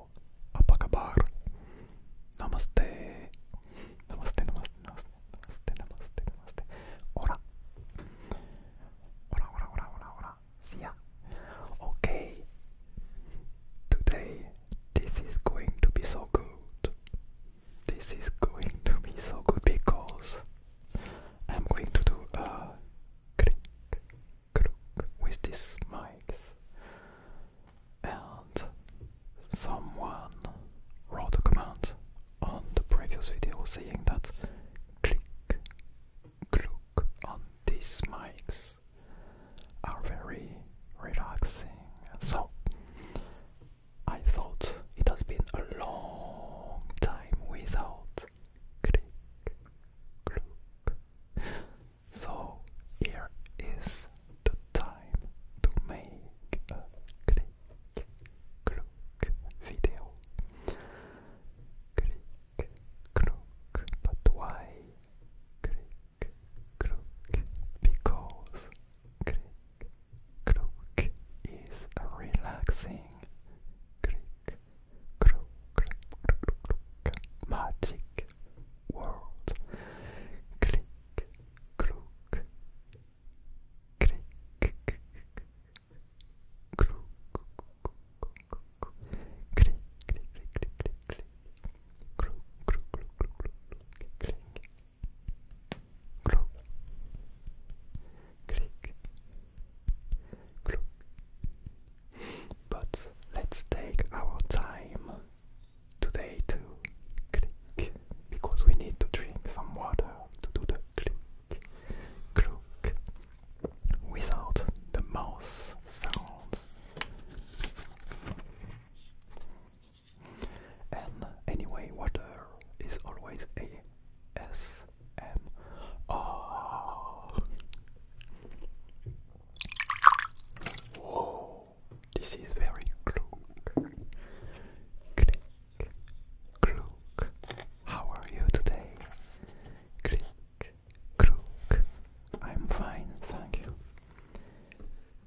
Hello, Apakabar. Namaste. Namaste, namaste, namaste, namaste, namaste, namaste. Ora. Ora, ora, ora, ora, See ya. Okay. Today, this is going to be so good. This is going to be so good because I'm going to do a click, crook with these mics and someone wrote a comment on the previous video saying that click click on these mics are very relaxing so I thought it has been a long time without click click so here is the time to make a click clock video. Click clock, but why click clock? Because click clock is relaxing. Click clock, magic world. Click, crook, click, crook, click, click, click, click, click, crook, crook, crook, crook, click, click, crook, click, crook. But let's take our time today to click because we need to drink some water to do the click, click without the mouse sounds. And anyway, water is always a S M R. Whoa. This is very cloak. Click, cloak. How are you today? Click, cloak. I'm fine, thank you.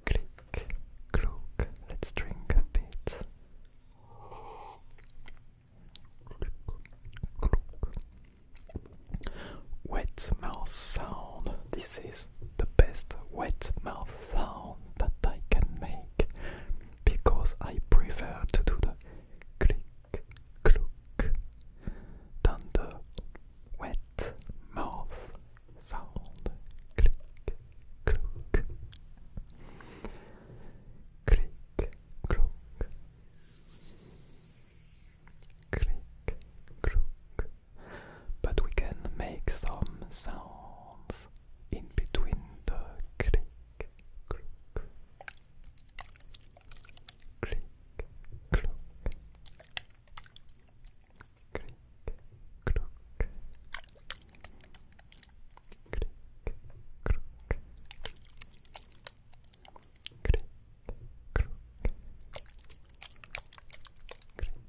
Click, cloak. Let's drink a bit. Click, cloak. Wet mouse sound. This is the best wet mouth sound that I can make because I prefer to do the click cluck than the wet mouth sound click cluck click cluck click cluck but we can make some sounds in between the click, click, click, click, click, click. Click, click. Click, click. Click,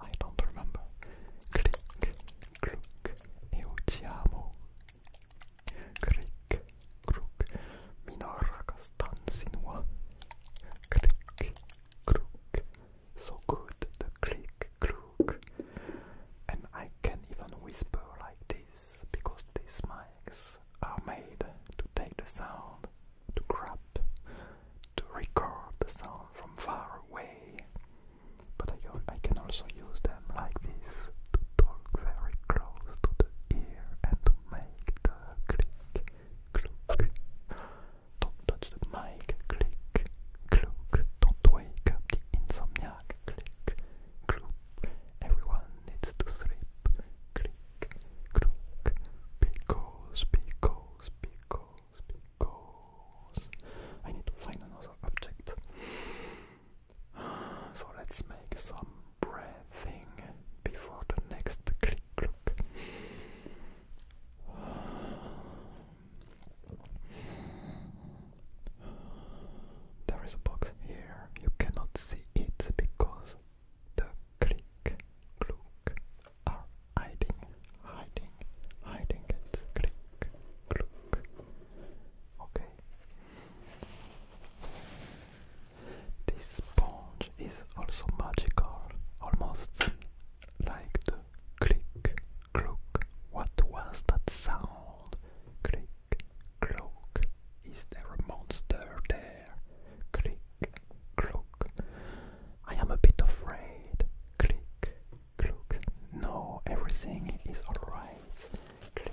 I don't remember. Click, crook, Euciamo. Click, crook, Minora Costanzinua. Click, crook. So good, the click, crook. And I can even whisper like this because these mics are made to take the sound, to grab, to record the sound from far away but I, can also use them like this to talk very close to the ear and to make the click, cluck. Don't touch the mic, click, cluck. Don't wake up the insomniac, click, cluck. Everyone needs to sleep, click, cluck. Because, because, because because I need to find another object. So let's make some breathing before the next click clock. There is a box here. You cannot see it because the click clock are hiding, hiding hiding, it. Click, click. Okay. This sponge is also magical, almost like the click, clock. What was that sound? Click, clock. Is there a monster there? Click, clock. I am a bit afraid. Click, no, everything is alright. click,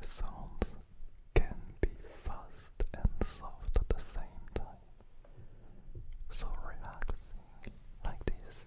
The sounds can be fast and soft at the same time. So relaxing like this.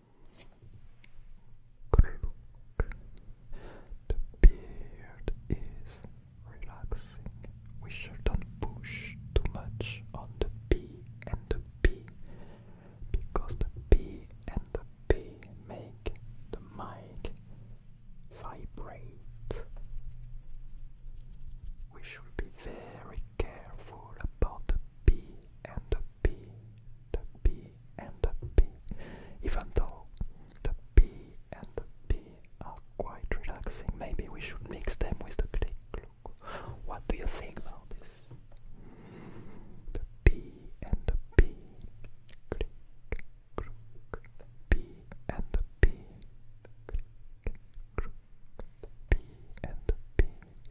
Kruk. The beard is relaxing. We shouldn't push too much on the p and the p, because the p and the p make the mic vibrate. We should be very careful about B and the B, the B and the B, even though the B and the B are quite relaxing, maybe we should mix them with the click look. What do you think about this? The B and the B, click, crook, B and the B, click, crook, B and the B.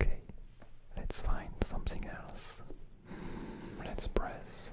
Okay, let's find something else. Let's press.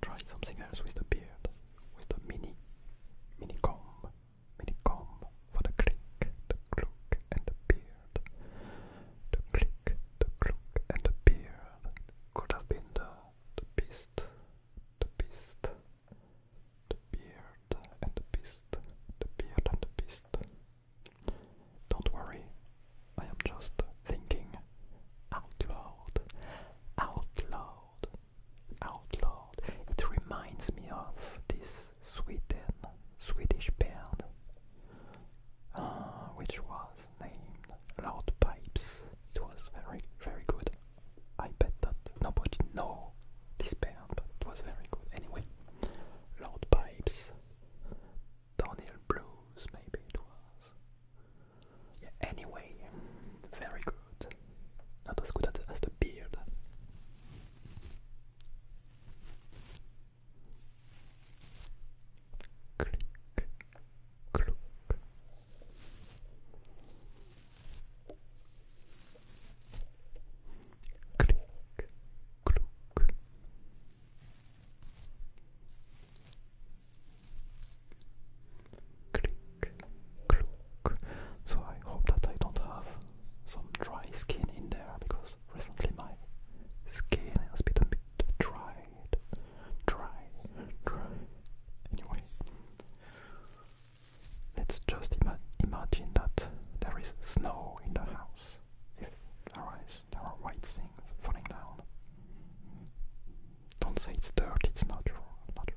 Try something else with the beard, with the mini, mini comb, mini comb for the click, the cloak, and the beard. The click, the cloak, and the beard could have been the, the beast, the beast, the beard, and the beast, the beard, and the beast. Don't worry, I am just thinking out loud, out loud out It reminds me of this Sweden Swedish band uh, which was named Loud Pipes. It was very very good. I bet that nobody know this band, but it was very good. Anyway, Loud Pipes, Daniel Blues maybe it was anyway, very good. Not as good as the beard. Click, click. Click, click. Click, click. So I hope that I don't have some dry skin in there because recently my skin has been a bit dried, dry, dry. Anyway, let's just imagine that there is snow in the house. If there is, there are white things falling down. Don't say it's dirt, it's natural. Not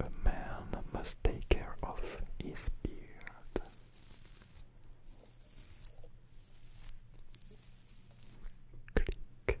A man must take care of his beard. Click, Click,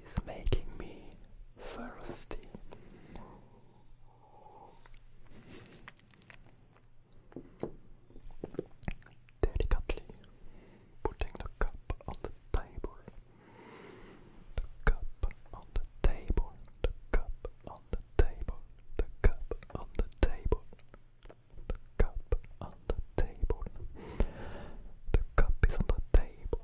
It's making me thirsty. Delicately putting the cup on the table. The cup on the table. The cup on the table. The cup on the table. The cup on the table. The cup is on the table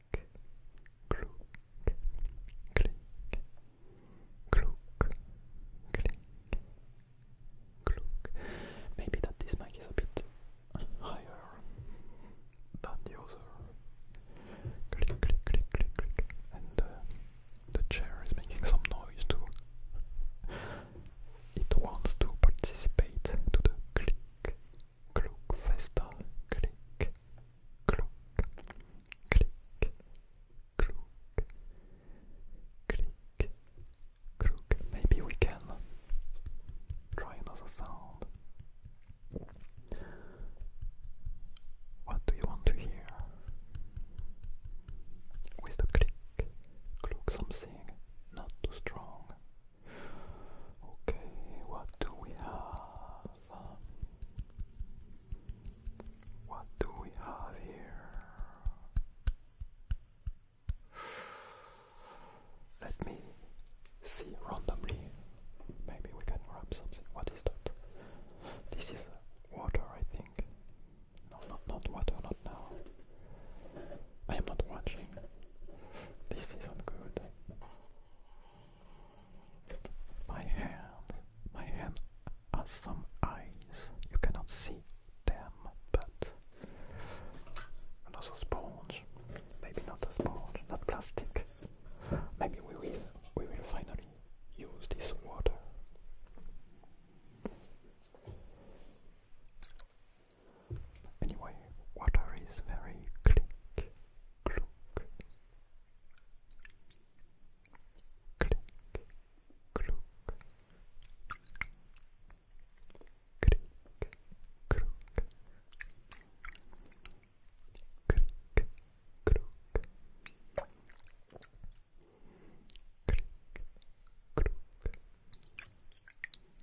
Kluk, klink, kluk, klink, kluk. Maybe that this mic is a bit higher than the other. Click, click, click, click, click. And uh, the chair is making some noise too. It wants to participate to the click, Klokfästa, klick, klok, klick, klok, klick, klok. Maybe we can try another sound. What do you want to hear? With the click, click something not too strong, Okay, what do we have? what do we have here? Let me see randomly. Maybe we can grab something. What is that? This is water, I think. No, not water, not now. I am not watching. This isn't good. My hands, my hands are some eyes. You cannot see them, but and also sponge. Maybe not a sponge, not plastic. Maybe we will, we will finally use this water. Anyway, water is very click, clook, click, clook, click, clook, click, clook. Click, click, click, click,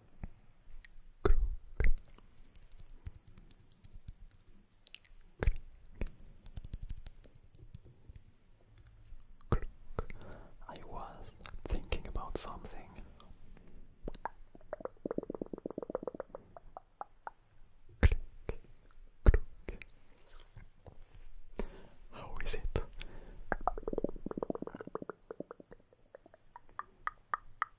I was thinking about something. How is it?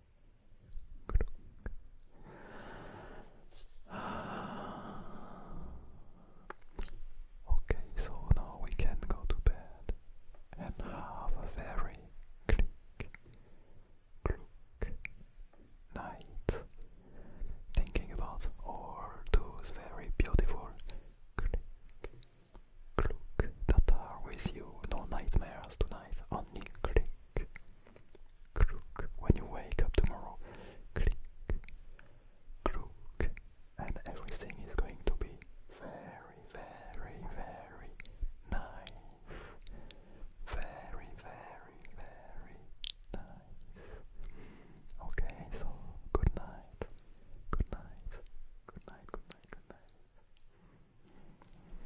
Okay, so now we can go to bed and have a very click, click night, thinking about all those very beautiful click, click that are with you. No nightmares tonight, only click, crook when you wake up tomorrow. Click, crook, and everything is going to be very, very, very nice. Very, very, very nice. Okay, so good night. Good night. Good night, good night, good night.